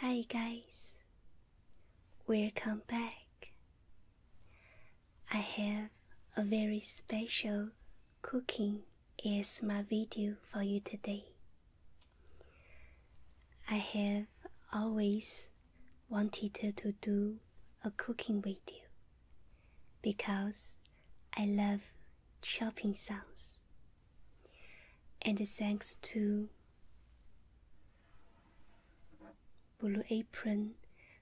Hi, guys, welcome back. I have a very special cooking my video for you today. I have always wanted to do a cooking video because I love chopping sounds. And thanks to Blue Apron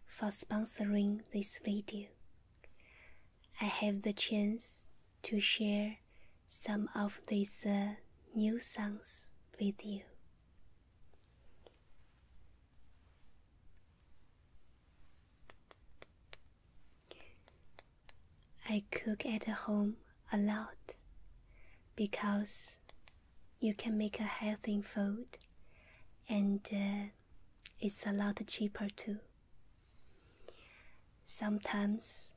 for sponsoring this video, I have the chance to share some of these uh, new songs with you. I cook at home a lot because you can make a healthy food and uh, it's a lot cheaper too. Sometimes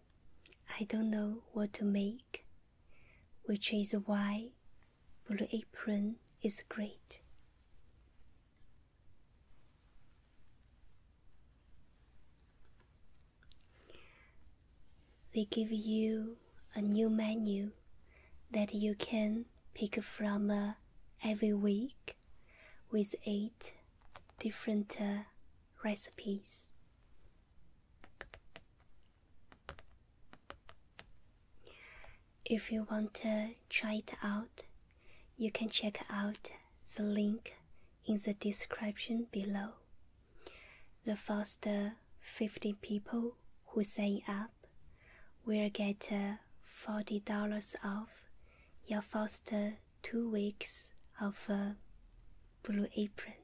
I don't know what to make, which is why Blue Apron is great. They give you a new menu that you can pick from uh, every week with eight different uh, recipes. If you want to try it out, you can check out the link in the description below. The first 50 people who sign up will get $40 off your first two weeks of Blue Apron.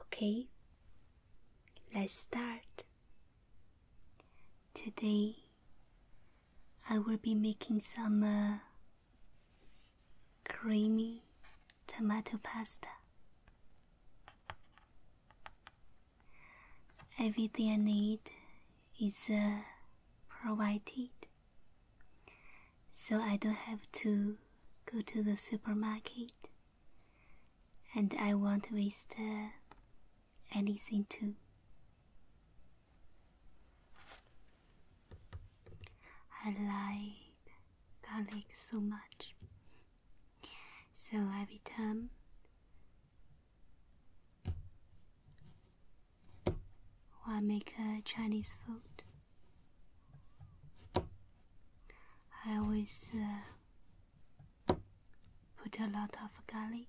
Okay, let's start. Today I will be making some uh, creamy tomato pasta. Everything I need is uh, provided, so I don't have to go to the supermarket, and I won't waste uh, anything too. I like garlic so much. So every time I make a Chinese food, I always uh, put a lot of garlic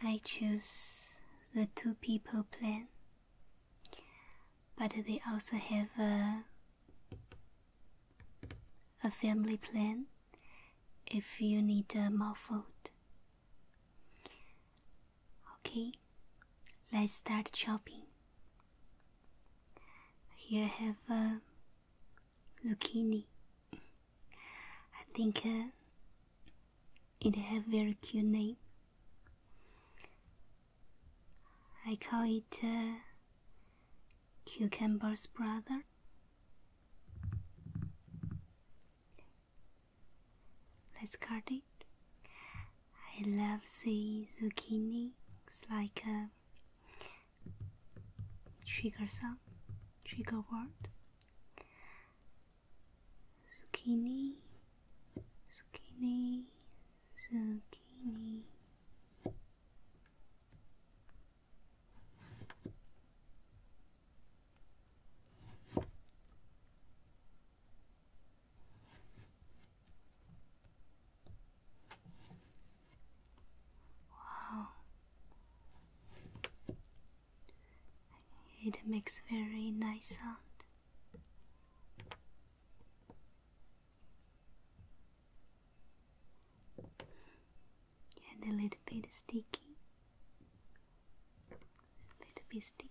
I choose the two people plan but they also have a, a family plan if you need a uh, more food. Okay, let's start chopping. Here I have a zucchini. I think uh, it has very cute name. I call it uh, Cucumber's brother. Let's cut it. I love the zucchini. It's like a uh, trigger sound, trigger word skinny, skinny, skinny. Wow. It makes very nice sound. And a little bit sticky. A little bit sticky.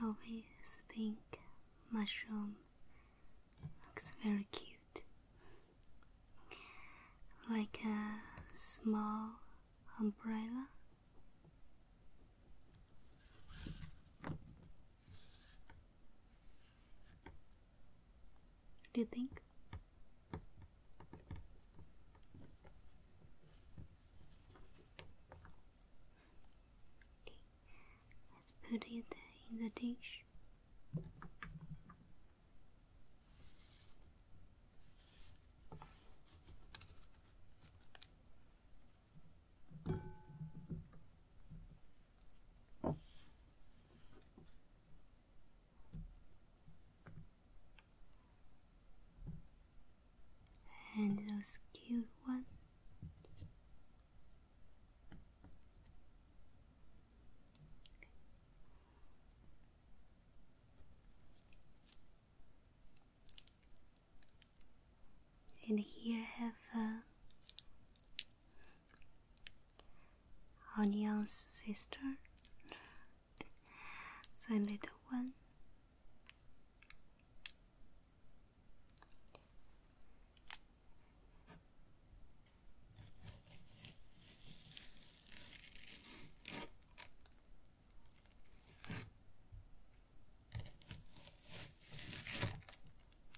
I always think mushroom looks very cute, like a small umbrella. Do you think? Let's put it in the dish. And those cute ones. And here have a uh, Onion's sister, the little one.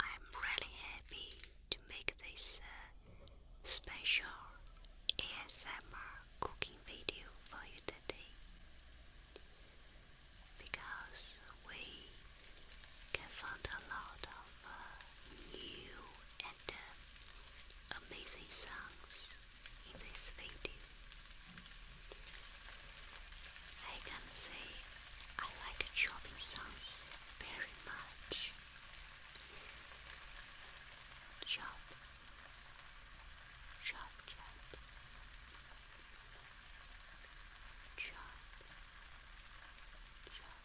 I'm really happy to make this uh, special ASMR cooking video for you today because we can find a lot of uh, new and uh, amazing songs in this video. I can say I like shopping songs very much. Chop, chop, chop, chop, chop, chop.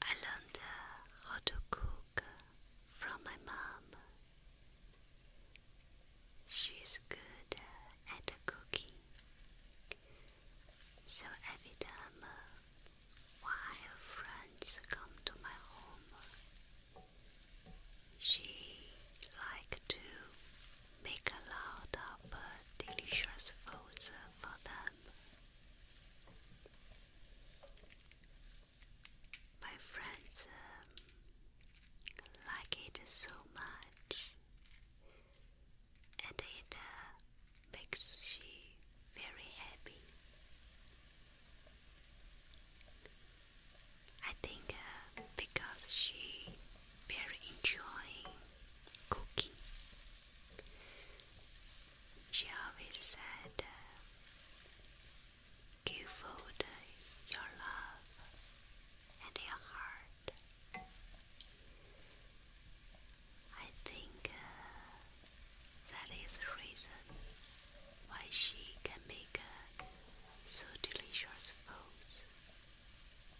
I learned how to cook from my mom. She's good at cooking. So every time uh, while friends come to my home, she likes to make a lot of delicious foods for them. My friends um, like it so much, and it uh, makes she very happy. I think uh, because she very enjoying cooking. She always said, Give food uh, your love and your heart. I think uh, that is the reason why she can make uh, so delicious foods.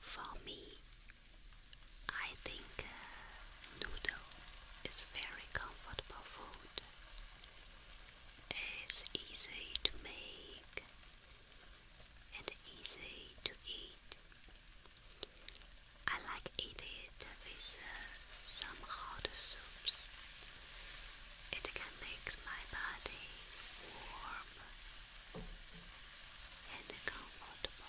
For me, I think uh, noodle is very comfortable food. It's easy to make and easy to eat. I like eating it with uh, some hot soups. It can make my body warm and comfortable.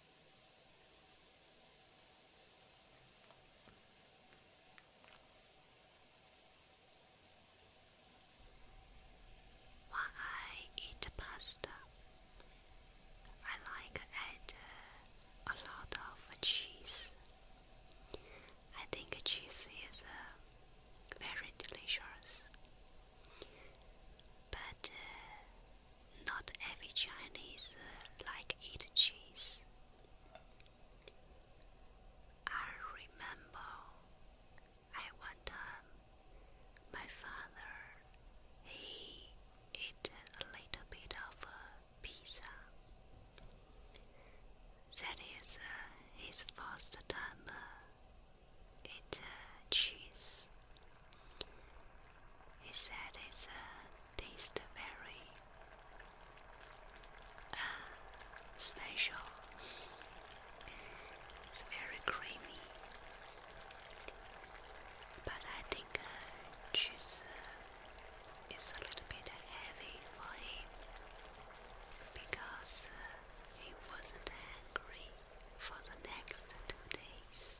When I eat pasta, I like add uh, a lot of cheese. I think cheese is uh, very delicious, but uh, not every Chinese uh, like eat cheese. I remember at one time my father he ate a little bit of pizza. That is uh, his first time uh, eat cheese. He said it's a taste very uh, special. It's very creamy, but I think uh, cheese uh, is a little bit heavy for him because uh, he wasn't hungry for the next two days.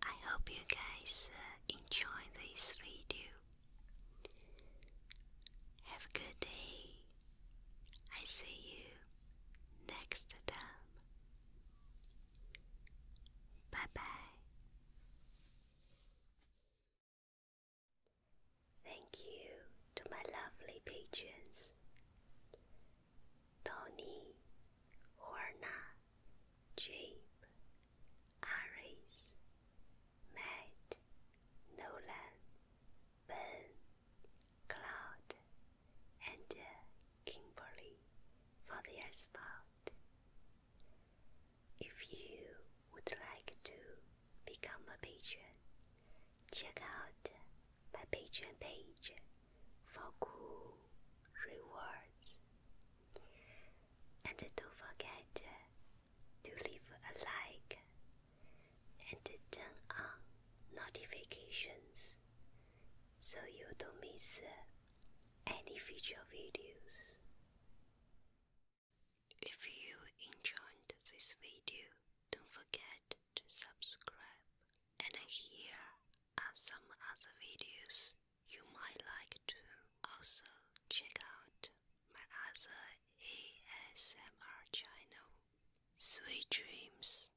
I hope you guys uh, enjoyed this video. Have a good day. I see you next time. Bye bye. Thank you to my lovely patrons Tony, Horna, Jabe, Aris, Matt, Nolan, Ben, Cloud, and uh, Kimberly for their support. If you would like to become a patron, check out my Patreon page for cool rewards. And don't forget to leave a like and turn on notifications so you don't miss uh, any future videos. If you enjoyed this video, don't forget to subscribe. And here are some other videos you might like to also check out my other ASMR channel, Sweet Dreams.